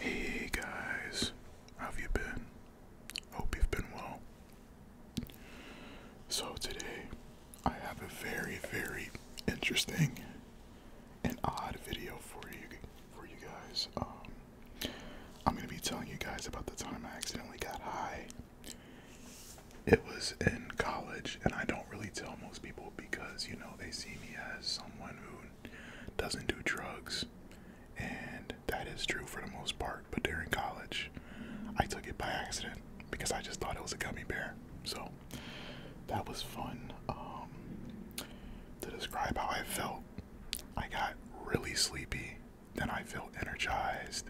Hey guys, how have you been? Hope you've been well. So, today I have a very, very interesting and odd video for you, for you guys. Um, I'm gonna be telling you guys about the time I accidentally got high. It was in college, and I don't really tell most people because you know they see me as someone who doesn't do drugs, and that is true for the most part. But during college, I took it by accident because I just thought it was a gummy bear. So that was fun. Um, to describe how I felt, I got really sleepy, then I felt energized,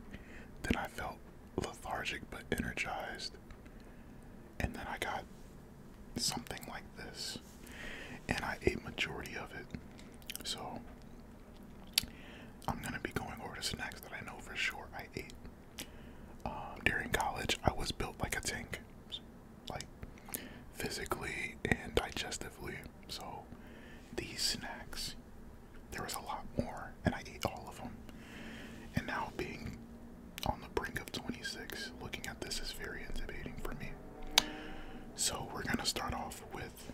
then I felt lethargic but energized, and then I got something like this, and I ate majority of it. So I'm gonna be going over to snacks that I know for sure I ate. Um, during college, I was built like a tank, like physically and digestively. So these snacks, there was a lot more, and I ate all of them. And now being on the brink of 26. Looking at this is very intimidating for me. So we're going to start off with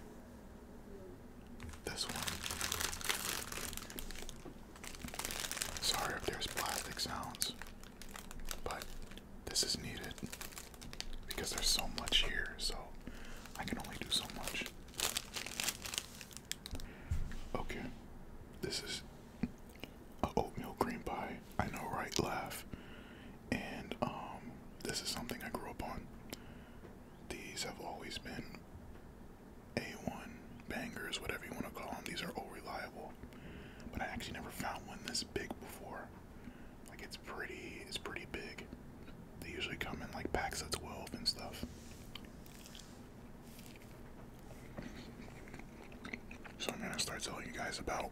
this one. Sorry if there's plastic sounds, but this is needed because there's so much here, so I can only do so much. Okay, this is a oatmeal cream pie. I know, right? Laugh. And um, this is something I grew up on. These have always been A1 bangers, whatever you want to call them. These are all reliable. But I actually never found one this big before. Like it's pretty, it's pretty big. They usually come in like packs of 12 and stuff. So I'm gonna start telling you guys about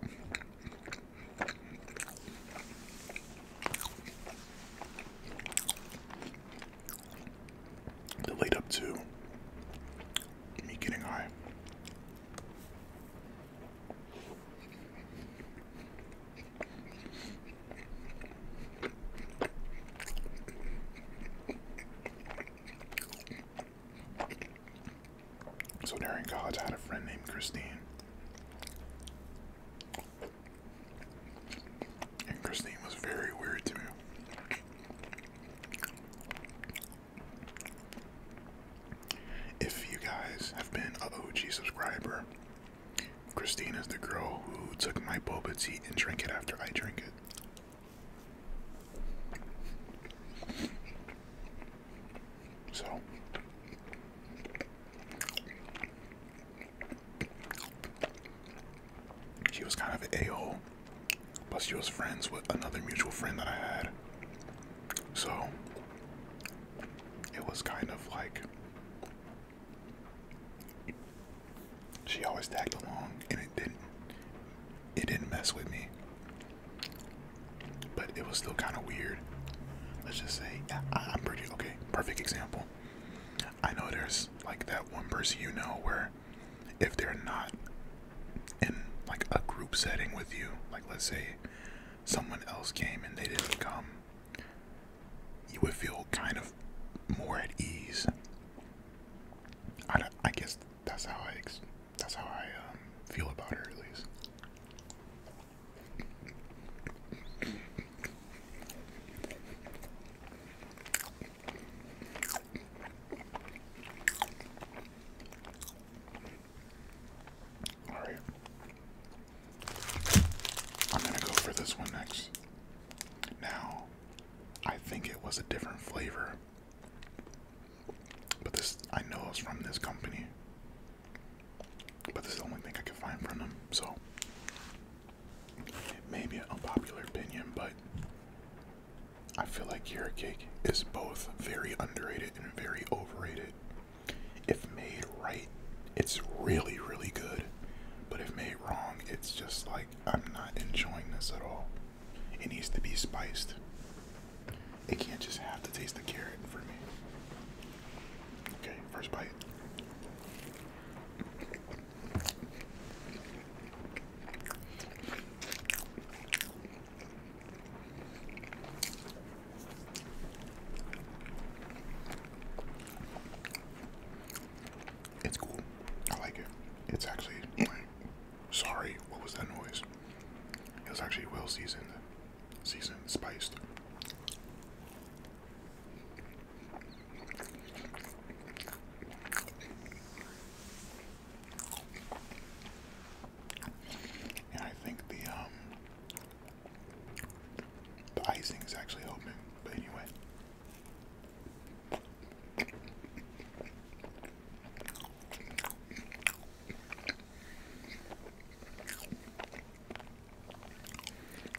the lead up to me getting high. So during college, I had a friend named Christine. And Christine was very weird to me. If you guys have been a OG subscriber, Christine is the girl who took my boba tea and drank it after I drank it. So she was kind of a-hole. Plus she was friends with another mutual friend that I had. So it was kind of like she always tagged along, and it didn't. It didn't mess with me, but it was still kind of weird. Let's just say I, am pretty okay. Perfect example. I know there's like that one person you know where, if they're not in like a group setting with you, like let's say someone else came and they didn't come, you would feel kind of more at ease. I, I guess that's how I that's how I um, feel about it at least. All right. I'm going to go for this one next. Now, I think it was a different flavor, but this, I know it's from this company. But this is the only thing I could find from them, so. It may be opinion, but I feel like Kira Cake is both very underrated and very overrated. If made right, it's really, really good. But if made wrong, it's just like I'm not enjoying this at all. It needs to be spiced. It can't just have to taste the carrot for me. Okay, first bite. It's cool. I like it. It's actually sorry, what was that noise? It was actually well seasoned, seasoned, spiced. Yeah, I think the um the icing is actually helping. But anyway,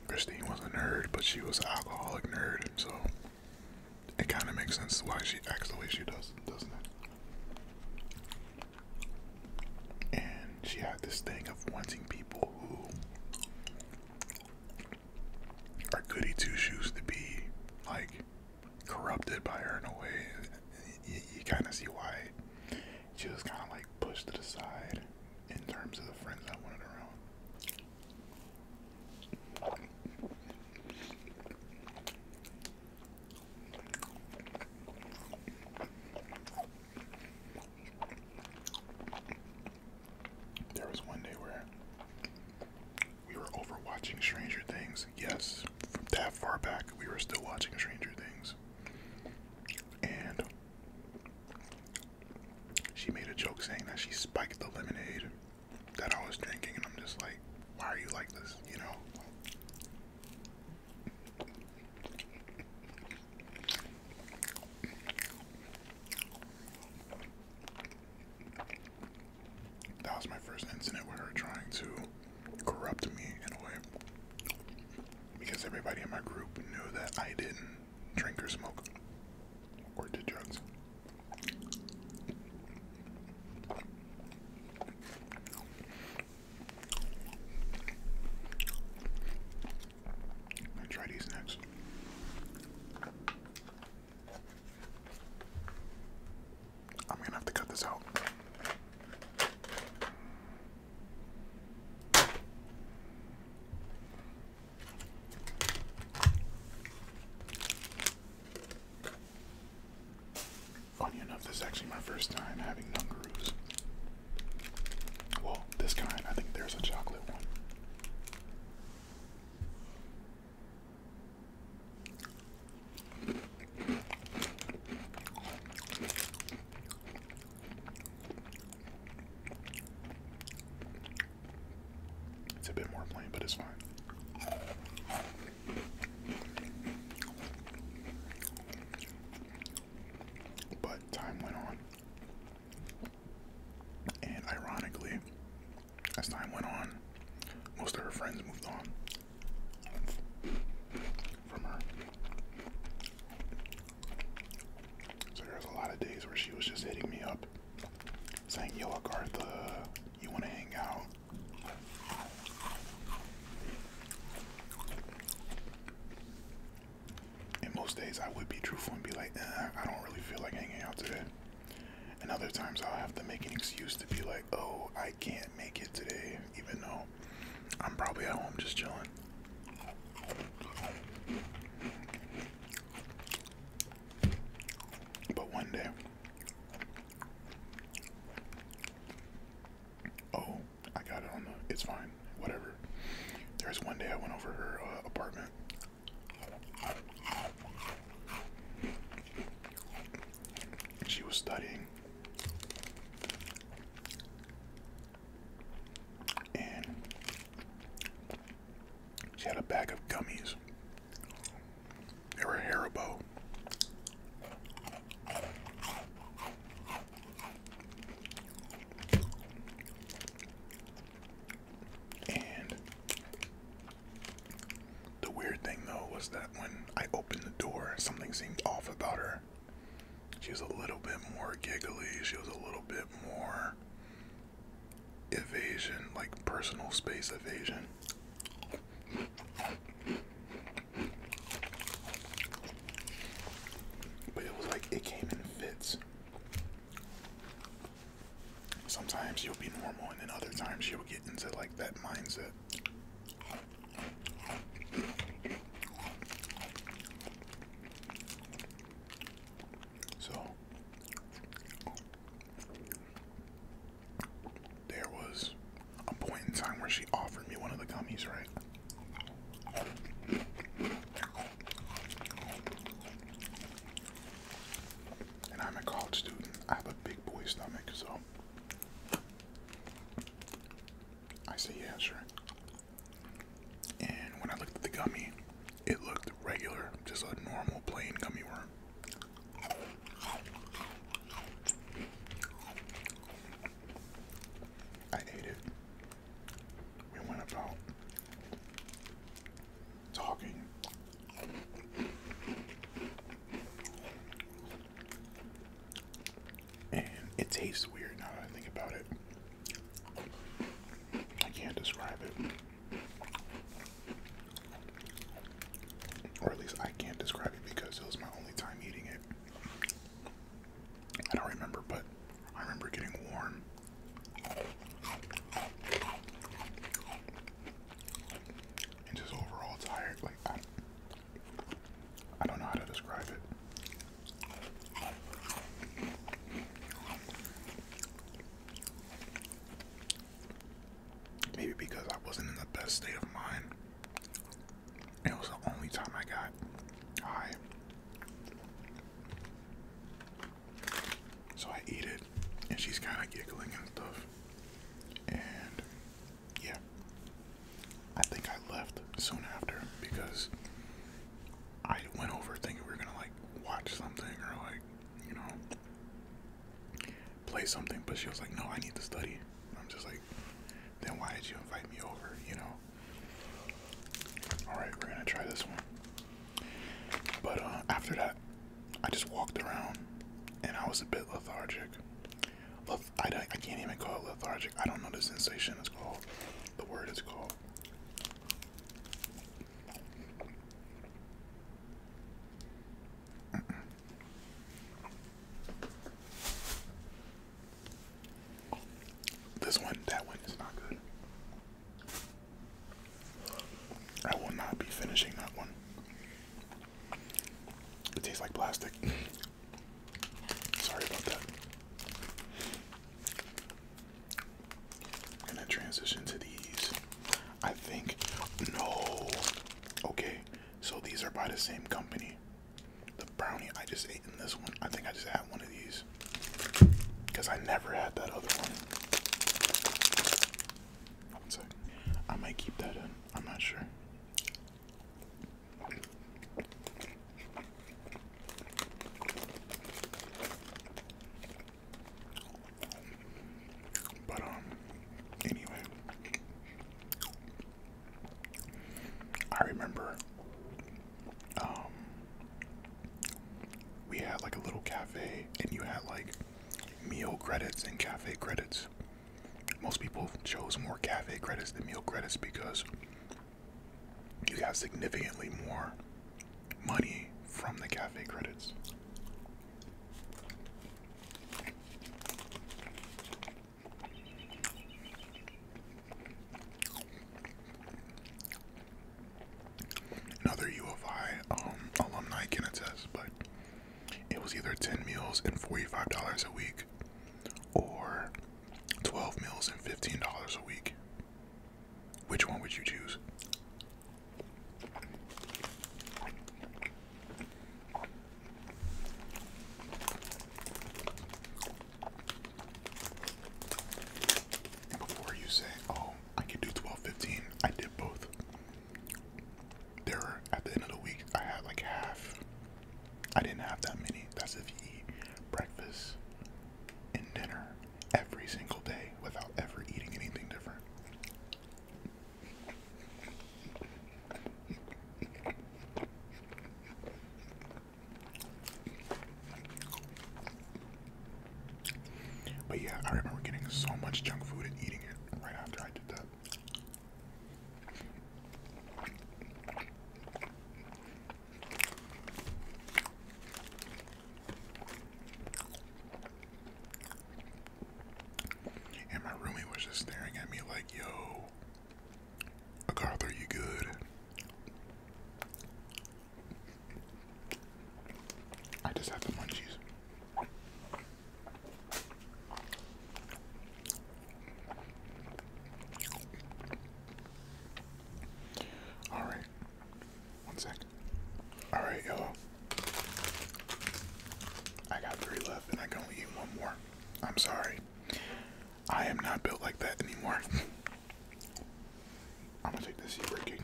Christine was a nerd, but she was alcoholic nerd, so it kind of makes sense why she acts the way she does, doesn't it? And she had this thing of wanting people who are goody two shoes to be like corrupted by her in a way. You, you kind of see why she was kind of like pushed to the side in terms of the friends I wanted around. There was one day where we were overwatching Stranger Things. Yes, from that far back, we were still watching Stranger Things. And she made a joke saying that she spiked the lemonade that I was drinking, and I'm just like, why are you like this? You know? That was my first incident with her trying to corrupt me in a way. Because everybody in my group knew that I didn't drink or smoke or did drugs i try these next. I'm gonna have to cut this out. Funny enough, this is actually my first time having Nungaroos. Well, this kind, I think there's a chocolate one. It's a bit more plain, but it's fine. But time went on, and ironically, as time went on, most of her friends moved on from her. So there was a lot of days where she was just hitting me up, saying, "Yo, Agartha, you want to hang out?" In most days I would be truthful and be like, eh, I don't really feel like hanging out today. And other times I'll have to make an excuse to be like, oh, I can't make it today, even though I'm probably at home just chilling. But one day, oh, I got it on the, it's fine whatever. There was one day I went over her uh, apartment. She was studying. And she had a bag of gummies. They were Haribo. And the weird thing though was that when I opened the door, something seemed off about her. She was a little bit more giggly, she was a little bit more evasion, like personal space evasion. But it was like it came in fits. Sometimes you'll be normal, and then other times you'll get into like that mindset. So there was a point in time where she offered me one of the gummies, right? And I'm a college student. I have a big boy stomach, so I say yeah, sure. And when I looked at the gummy, it looked regular, just a normal plain gummy worm. I ate it. We went about talking. And it tastes weird now that I think about it. I can't describe it. Or at least I can't describe it because it was my only time eating it. I don't remember, but I remember getting warm. And just overall tired. Like, I, don't know how to describe it. Maybe because I wasn't in the best state of mind. It was the only time I got high. So I eat it, and she's kind of giggling and stuff. And yeah, I think I left soon after because I went over thinking we were gonna like watch something or like, you know, play something. But she was like, No, I need to study. I'm just like, then why did you invite me over, you know? Alright, we're gonna try this one. But uh, after that, I just walked around and I was a bit lethargic. Leth I, I can't even call it lethargic. I don't know the sensation is called, the word is called. This one, that one is not good. I will not be finishing that one. It tastes like plastic. Sorry about that. I'm gonna transition to these. I think, no. Okay, so these are by the same company. The brownie I just ate in this one. I think I just had one of these because I never had that other one. I might keep that in. I'm not sure. But um anyway I remember um, we had like a little cafe, and you had like meal credits and cafe credits. Most people chose more cafe credits than meal credits because you got significantly more money from the cafe credits. Another U of I um, alumni can attest, but it was either 10 meals and $45 a week or 12 meals and $15 a week. Which one would you choose? Before you say, oh, I can do 12.15, I did both. There, at the end of the week, I had like half. I didn't have that many. That's if you eat breakfast and dinner every single day without ever eating anything different. But yeah, I remember getting so much junk food and eating it right after I did that. And my roomie was just staring at me like, yo, Garth, you good? I just have the munchies. All right, one alright you All right, y'all. I got three left, and I can only eat one more. I'm sorry. I am not built like that anymore. I'm gonna take this zebra cake.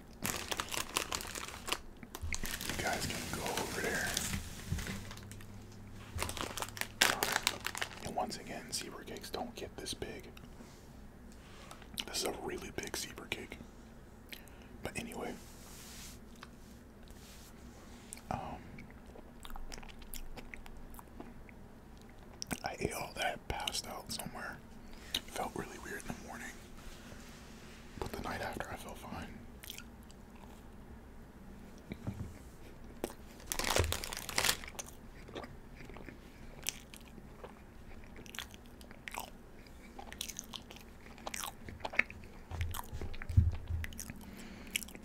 You guys can go over there. And once again, zebra cakes don't get this big. This is a really big zebra cake. But anyway, um, I ate all that, passed out somewhere. Felt really weird in the morning, but the night after I felt fine.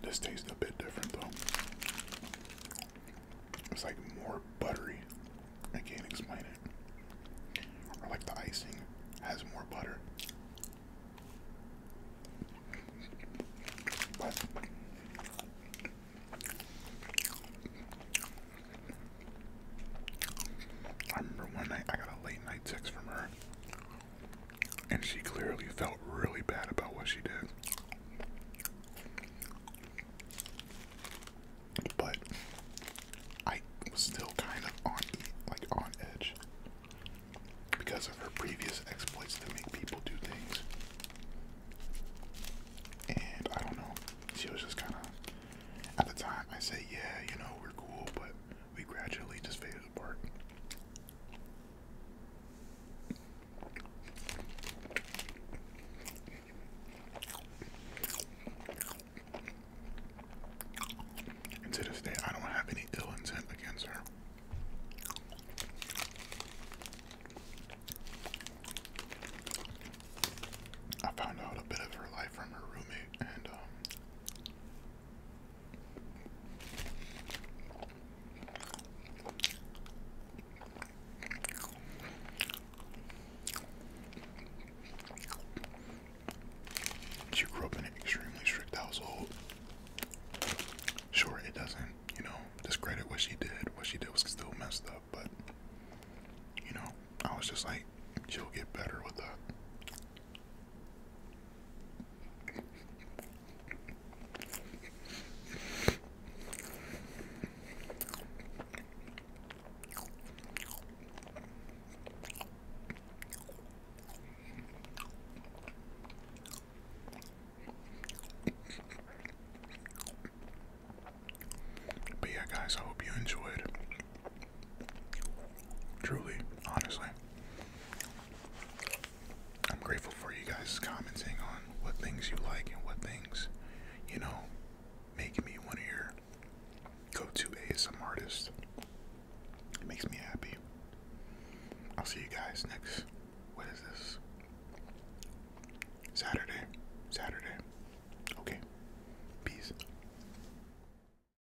This tastes a bit different though. It's like more buttery. I can't explain it. Or like the icing has more butter. I remember one night I got a late night text from her and she clearly felt really bad about what she did. But I was still kind of on like on edge because of her previous exploits to make people do things. And I don't know, she was just kind of at the time I say, yeah, you know, we're cool, but we gradually just faded apart. And to this day, I don't have any ill intent against her. I found out a bit of her life from her roommate, and um, she grew up in an extremely strict household. Sure, it doesn't, you know, discredit what she did. What she did was still messed up, but, you know, I was just like, she'll get better with that. But yeah, guys, I hope you enjoyed Truly, honestly. I'm grateful for you guys commenting on what things you like and what things, you know, make me one of your go to ASM artists. It makes me happy. I'll see you guys next. What is this? Saturday. Saturday. Okay. Peace.